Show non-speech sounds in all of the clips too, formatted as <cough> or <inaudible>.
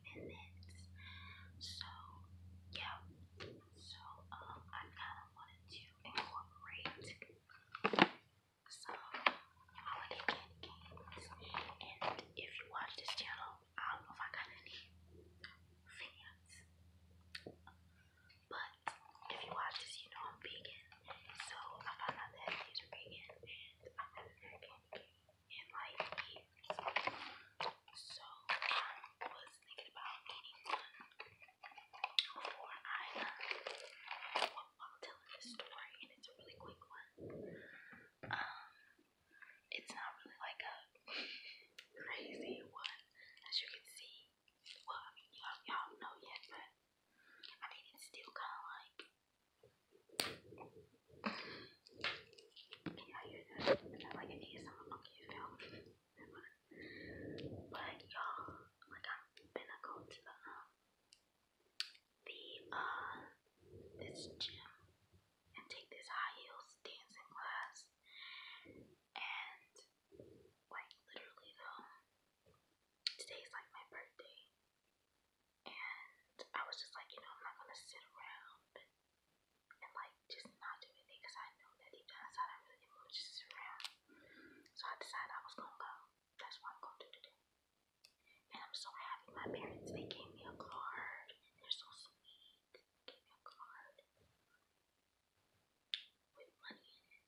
so yeah. So um I kinda wanted to incorporate some holiday candy And if you watch this channel, I don't know if I got any fans. But if you watch this, you know I'm vegan. So I found out that these vegan and I haven't so I was thinking about getting one before I uh, while story, and it's a really quick one. Um, it's not really like a crazy one, as you can see. Well, I mean, y'all y'all know yet, but I mean, it's still kind of like yeah, you know, like I need someone like you now. But y'all, like I'm gonna go to the the uh this gym and take this high heels dancing class and like literally though today's like my birthday and I was just like, you know, I'm not gonna sit around and like just not do anything because I know that deep down I really didn't want to just sit around. So I decided I was gonna go. That's what I'm gonna do today. And I'm so happy my parents they gave me a card. They're so sweet. They me a card with money in it.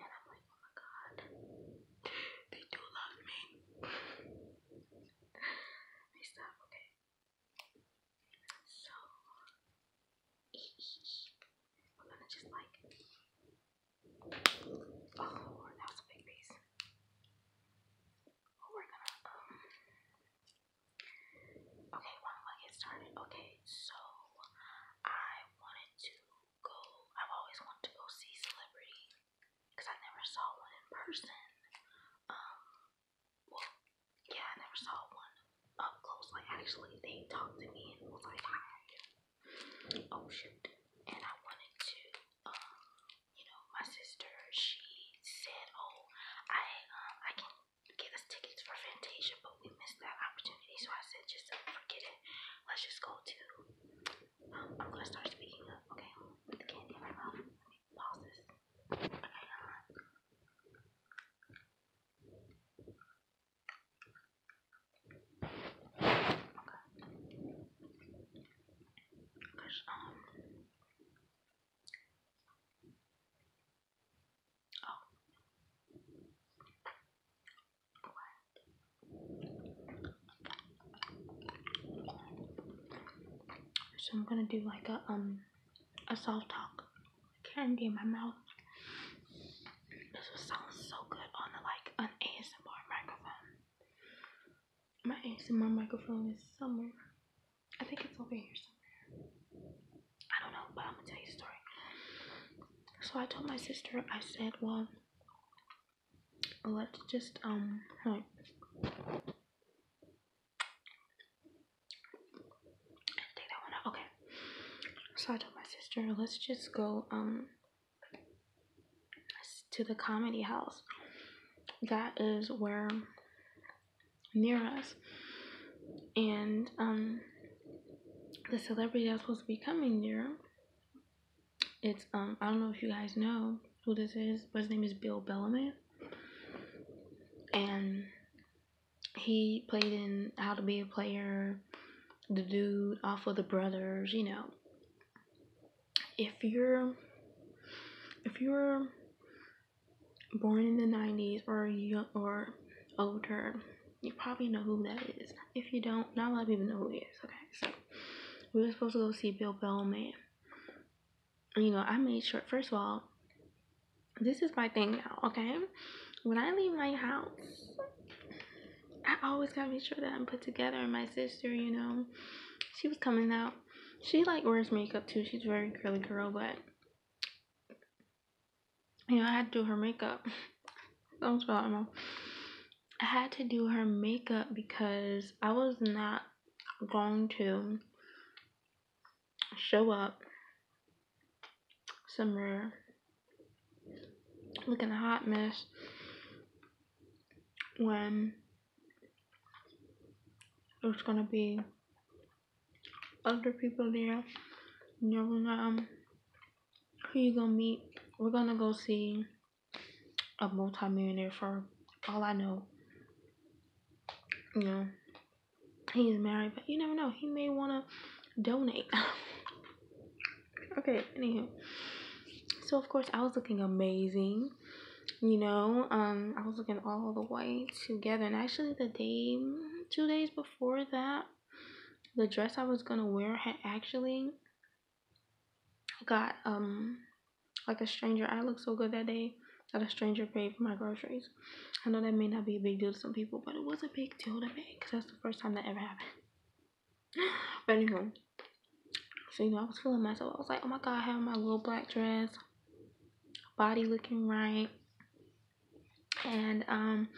And I'm like, oh my god, they do love me okay. So we're gonna just like Oh that was a big piece. Oh, we're gonna um, Okay, well I'm gonna get started. Okay, so I wanted to go I've always wanted to go see celebrities because I never saw one in person. Um, well, yeah, I never saw one up close. Like, actually, they talked to me and was like, hi. Oh, shit. And I wanted to, um, you know, my sister, she said, oh, I, um, I can get us tickets for Fantasia, but we missed that opportunity. So I said, just forget it. Let's just go to I'm gonna start speaking up, okay? With the candy in my mouth. Let me pause this. Okay, alright. Okay. Cause, um. Oh. So I'm gonna do like a um a soft talk candy in my mouth. This would sound so good on like an ASMR microphone. My ASMR microphone is somewhere. I think it's over here somewhere. I don't know, but I'm gonna tell you a story. So I told my sister, I said, well, let's just um take that one out. Okay. So I told my sister, let's just go um to the comedy house. That is where near us. And um the celebrity that's supposed to be coming there it's um I don't know if you guys know who this is, but his name is Bill Bellamy, and he played in How to Be a Player, the dude off of the Brothers. You know, if you're if you're born in the '90s or you or older, you probably know who that is. If you don't, not a lot of people know who he is. Okay, so we were supposed to go see Bill Bellman. You know, I made sure. First of all, this is my thing now. Okay, when I leave my house, I always gotta make sure that I'm put together. And my sister, you know, she was coming out. She like wears makeup too. She's very curly girl, but you know, I had to do her makeup. Don't <laughs> spell I had to do her makeup because I was not going to show up somewhere looking a hot mess when there's gonna be other people there. You never know who you gonna meet? We're gonna go see a multimillionaire for all I know. You know, he's married, but you never know. He may wanna donate. <laughs> okay, anyway, So of course I was looking amazing. You know, um, I was looking all the way together, and actually the day, two days before that, the dress I was gonna wear had actually got um like a stranger. I looked so good that day that a stranger paid for my groceries. I know that may not be a big deal to some people, but it was a big deal to me because that's the first time that ever happened. <laughs> but anyway, so you know, I was feeling myself. I was like, oh my god, I have my little black dress, body looking right, and um,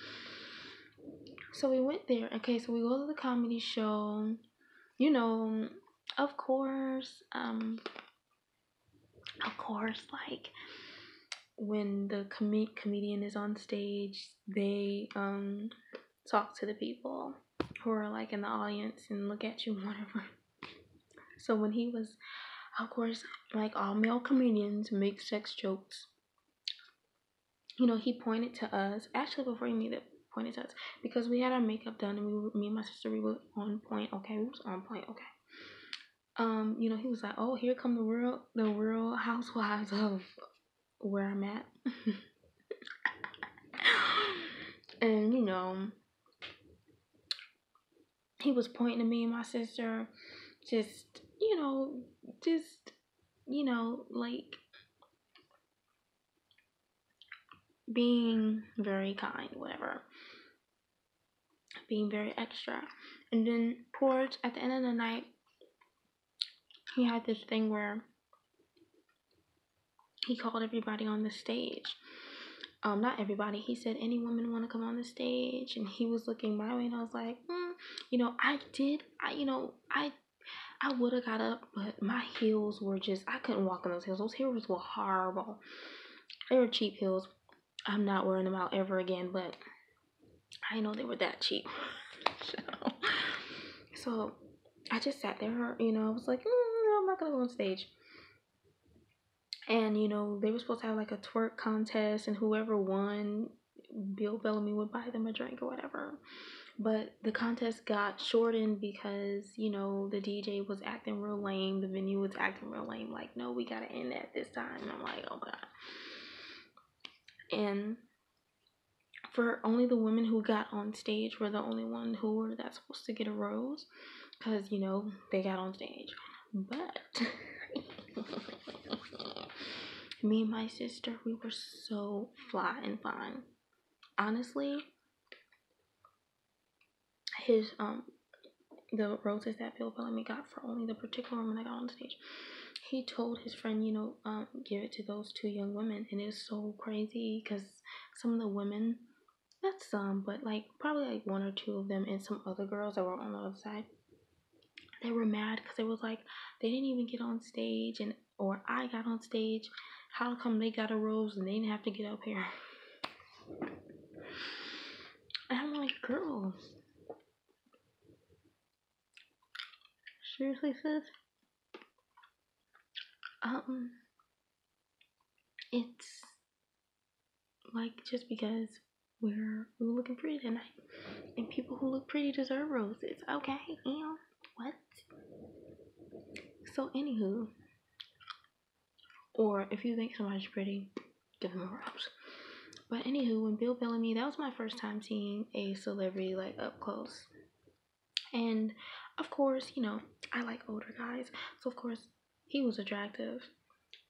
so we went there. Okay, so we go to the comedy show. You know, of course, um, of course, like when the com- comedian is on stage, they um talk to the people who are like in the audience and look at you, one of them. So when he was, of course, like all male comedians make sex jokes you know, he pointed to us. Actually, before he made it, pointed to us because we had our makeup done and we, were, me and my sister, we were on point. Okay, we was on point. Okay. Um, you know, he was like, "Oh, here come the world, the world housewives of where I'm at," <laughs> and you know, he was pointing to me and my sister, just, you know, just, you know, like being very kind, whatever. Being very extra. And then towards at the end of the night, he had this thing where he called everybody on the stage um, not everybody. He said, any woman want to come on the stage? And he was looking my way, and I was like, mm, you know, I did, I, you know, I, I would have got up, but my heels were just, I couldn't walk on those heels. Those heels were horrible. They were cheap heels. I'm not wearing them out ever again, but I know they were that cheap. <laughs> so, so I just sat there, you know, I was like, mm, I'm not going to go on stage and you know they were supposed to have like a twerk contest, and whoever won, Bill Bellamy would buy them a drink or whatever. But the contest got shortened because you know the DJ was acting real lame, the venue was acting real lame. Like, no, we gotta end that this time. And I'm like, oh god. And for only the women who got on stage were the only ones who were that supposed to get a rose because you know they got on stage. But <laughs> me and my sister, we were so fly and fine. Honestly, his um the roses that Bill Bellamy got for only the particular woman that got on stage. He told his friend, you know, um, give it to those two young women, and it was so crazy because some of the women that's some, but like probably like one or two of them and some other girls that were on the other side. They were mad because it was like they didn't even get on stage and or I got on stage. How come they got a rose and they didn't have to get up here? <sighs> And I'm like, girls. Seriously, sis? Um, it's like, just because we're we're looking pretty tonight, and people who look pretty deserve roses, okay? And what? So, anywho, or if you think somebody's pretty, give them a rose. But anywho, when Bill me, that was my first time seeing a celebrity like up close. And of course, you know, I like older guys. So of course, he was attractive.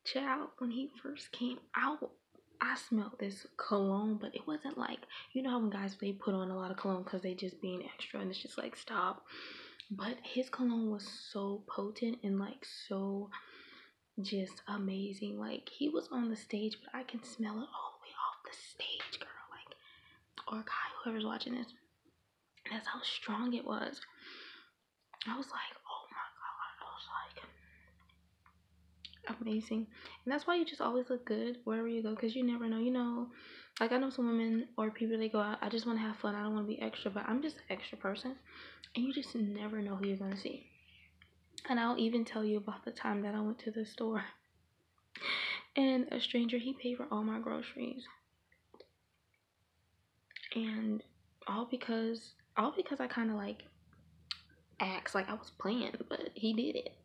Child, when he first came out, I smelled this cologne, but it wasn't like you know how guys they put on a lot of cologne because they just being extra and it's just like stop. But his cologne was so potent and like so just amazing. Like he was on the stage, but I can smell it all the way off the stage, girl. Like or guy, whoever's watching this, that's how strong it was. I was like, oh my god. I was like, amazing. And that's why you just always look good wherever you go because you never know. You know, like I know some women or people they go out, I just want to have fun. I don't want to be extra, but I'm just an extra person. And you just never know who you're going to see. And I'll even tell you about the time that I went to the store and a stranger, he paid for all my groceries and all because all because I kind of like acts like I was playing, but he did it.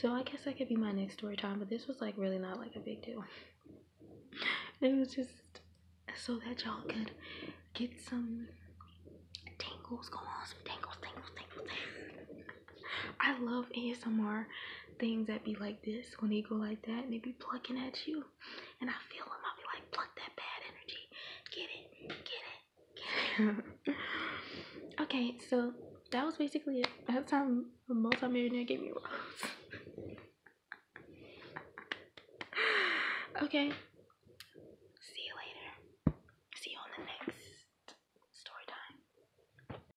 So I guess that could be my next story time, but this was like really not like a big deal. <laughs> it was just so that y'all could get some tingles going on, some tingles, tingles, tingles. I love ASMR things that be like this, when he go like that, and they be plucking at you, and I feel him, I be like, pluck that bad energy, get it, get it, get it. <laughs> okay, so that was basically it. That's time a multimillionaire gave me rose. <laughs> okay. See you later. See you on the next story time.